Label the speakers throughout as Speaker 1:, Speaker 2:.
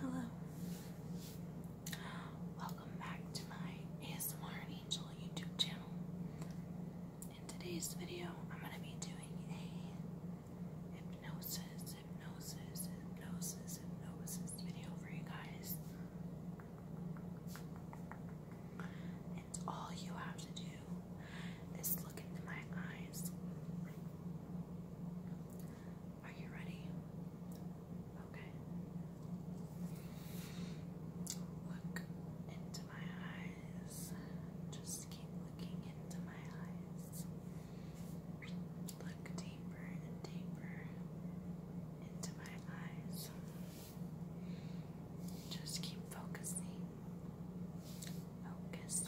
Speaker 1: Hello. Welcome back to my ASMR and Angel YouTube channel. In today's video, I'm going to be doing a hypnosis, hypnosis, hypnosis, hypnosis video for you guys. And all you have to do is look into my eyes. Are you ready? Okay. Look into my eyes. Just keep looking into my eyes. Look deeper and deeper into my eyes. Just keep focusing. Focus,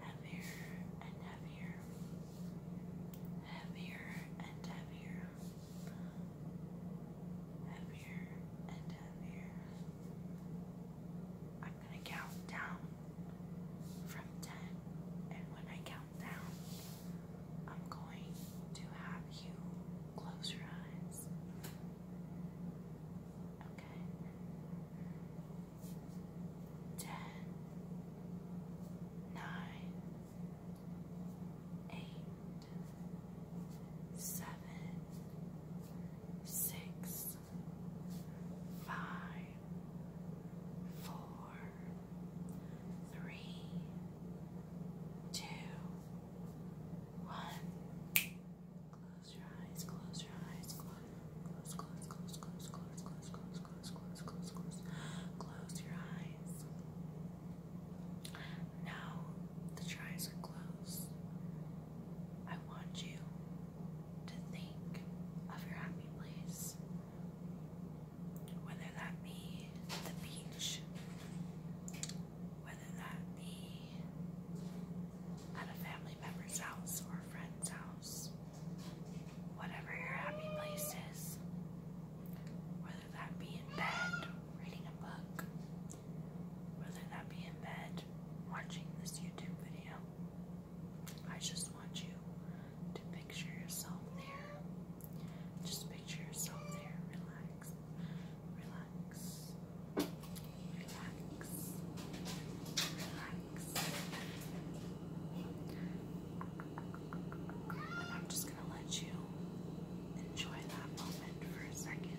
Speaker 1: heavier and heavier, heavier and heavier, heavier and heavier. I'm going to count down from 10, and when I count down, I'm going to have you close your eyes. Okay ten, nine, eight, seven, six, five, four, three, two, one. Close your eyes, close your eyes, close close, close, close, close, close, close, close, close, close, close, close. Close your eyes. Now that eyes are closed, I want you to think of your happy place. Whether that be the beach, whether that be at a family member's house or a friend's house, whatever your happy place is, whether that be in bed reading a book, whether that be in bed watching this YouTube video. I just want you to picture yourself there. Just picture yourself there. Relax. Relax. Relax. Relax. Relax. And I'm just going to let you enjoy that moment for a second.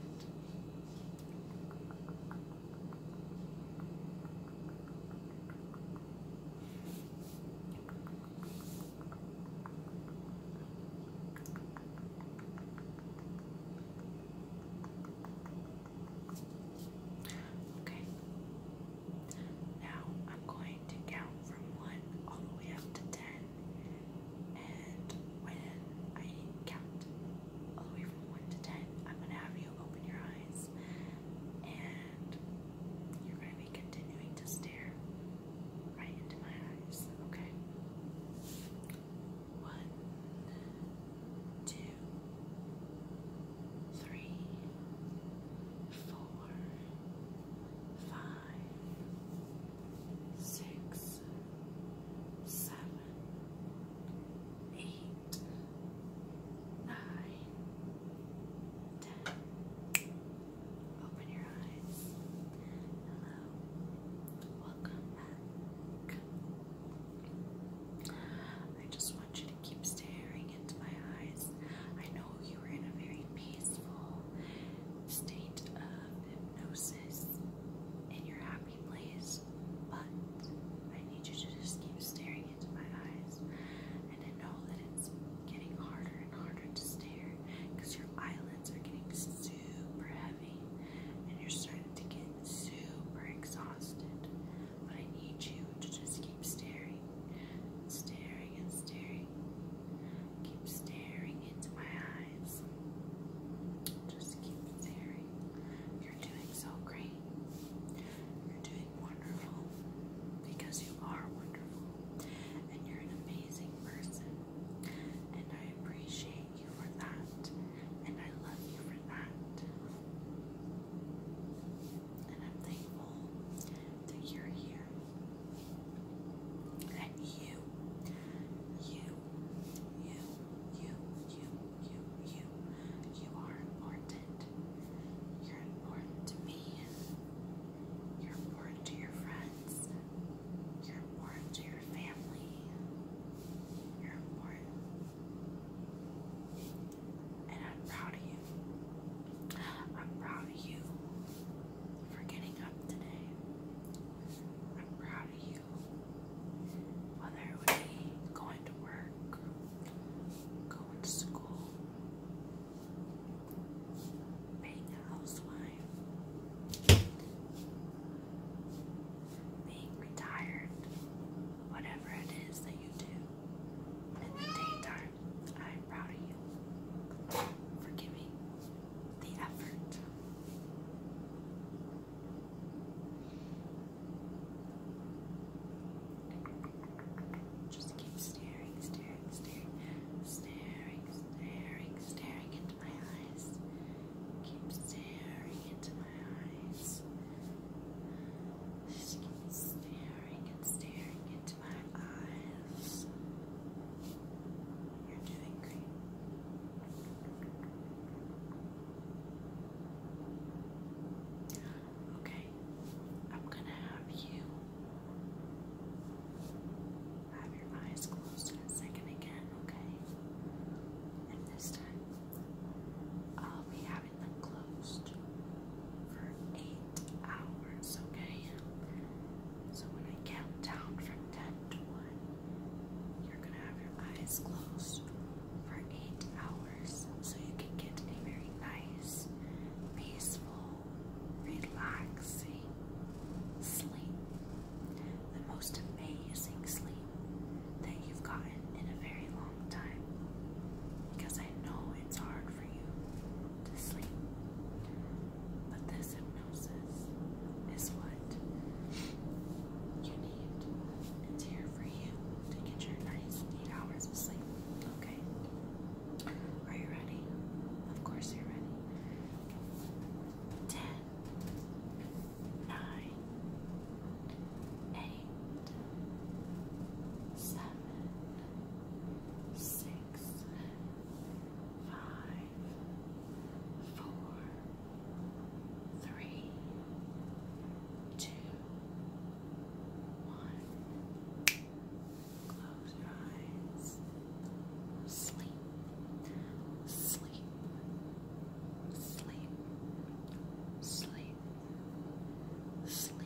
Speaker 1: Okay, now I'm going to count from 1 all the way up to 10. And when I count all the way from 1 to 10, I'm going to have you open your eyes. And you're going to be continuing to stare right into my eyes. Okay? 1, four, five, six, seven, eight, nine, ten. Open your eyes. Hello. Welcome back. I just want you to keep staring into my eyes. I know you are in a very peaceful state of hypnosis in your happy place, but I need you to just keep staring into my eyes. And I know that it's getting harder and harder to stare because your eyelids are getting super heavy and you're starting to get super exhausted but I need you to just keep staring, staring and staring. Keep staring into my eyes. Just keep staring. You're doing so great. You're doing wonderful because you are wonderful and you're an amazing person. And I appreciate you for that. And I love you for that. And I'm thankful that you're here. And you, you, you, you, you, you, you, you are important. You're important to me. You're important to your friends. You're important to your family. You're important. And I'm proud of you. I'm proud of you for getting up today. I'm proud of you. Whether it would be going to work, going to school, being a housewife, being retired, whatever it is that you do in the daytime I'm proud of you for giving the effort. Just keep staring, staring, staring, staring, staring, staring into my eyes. Keep staring into my eyes. Just keep staring and staring and into my eyes. You're doing great. Okay, I'm gonna have you have your eyes closed in a second again, okay? And this time, I'll be having them closed for eight hours, okay? So when I count down from 10 to 1, you're gonna have your eyes closed for 8 hours so you can get a very nice, peaceful, relaxing sleep. The most amazing sleep that you've gotten in a very long time. Because I know it's hard for you to sleep. But this hypnosis is what you need. It's here for you to get your nice eight hours of sleep. Okay? Are you ready? Of course you're ready. Ten, nine, eight, seven, six, five, four, three, two, one. Close your eyes. Sleep, sleep, sleep, sleep, sleep, sleep,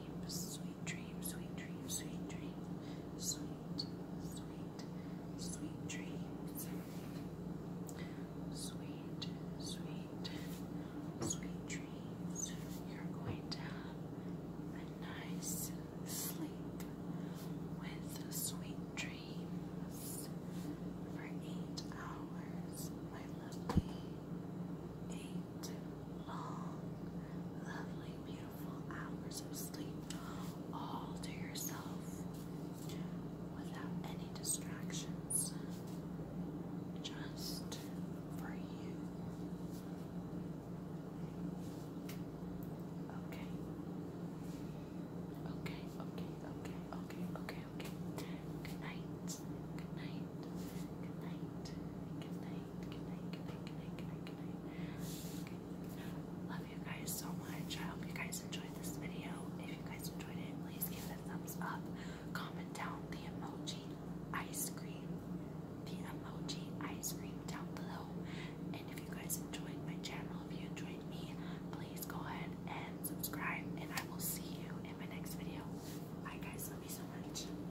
Speaker 1: dreams, sweet dreams, sweet dreams, sweet dreams, sweet, sweet, sweet dreams. Sweet, sweet, sweet dreams. You're going to have a nice sleep with sweet dreams for eight hours, my lovely. Eight long, lovely, beautiful hours of sleep all to yourself without any distractions. Just for you. Okay. Okay, okay, okay, okay, okay, okay. Good night. Good night. Good night. Good night. Love you guys so much. I hope you guys enjoyed this video. If you guys enjoyed it, please give it a thumbs up. Comment down the emoji ice cream. The emoji ice cream down below. And if you guys enjoyed my channel, if you enjoyed me, please go ahead and subscribe. And I will see you in my next video. Bye guys, love you so much.